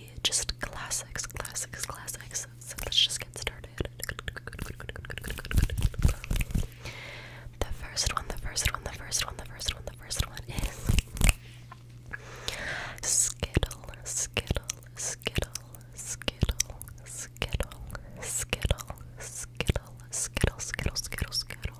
be just classics, classics, classics. So let's just get started. The first one, the first one, the first one, the first one, the first one is Skittle, Skittle, Skittle, Skittle, Skittle, Skittle, Skittle, Skittle, Skittle, Skittle, Skittle, Skittle, Skittle,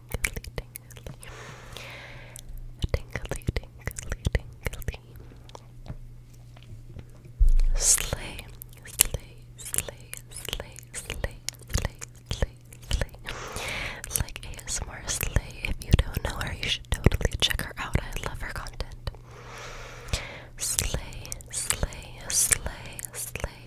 tingly, tingly. Tingly, tingly, tingly. Slay, slay, slay, slay, slay, slay, slay, slay. Like ASMR Slay. If you don't know her, you should totally check her out. I love her content. Slay, slay, slay, slay,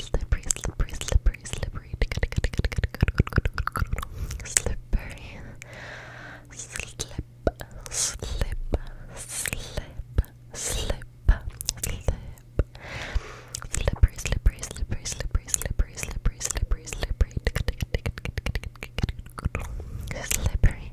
Slippery, slippery, slippery, slippery. Slippery. Slip, slip, slip, slip, slip. Slippery, slippery, slippery, slippery, slippery, slippery, slippery, slippery. Slippery,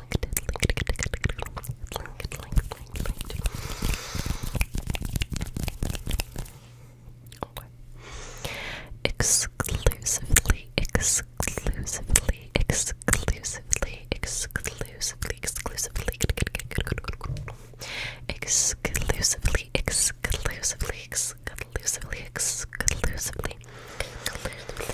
linked, linked, linked, linked, linked, linked. Okay. Exclusively, exclusively, exclusively, exclusively, exclusively, exclusively, exclusively, exclusively, exclusively, exclusively,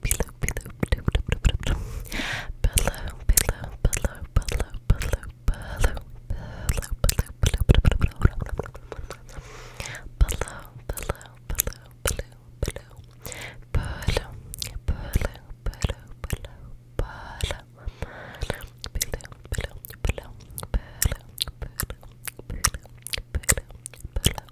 pillow, pillow, pillow, pillow, pillow, pillow, pillow, pillow, pillow, pillow, Pillow, pillow, pillow, pillow,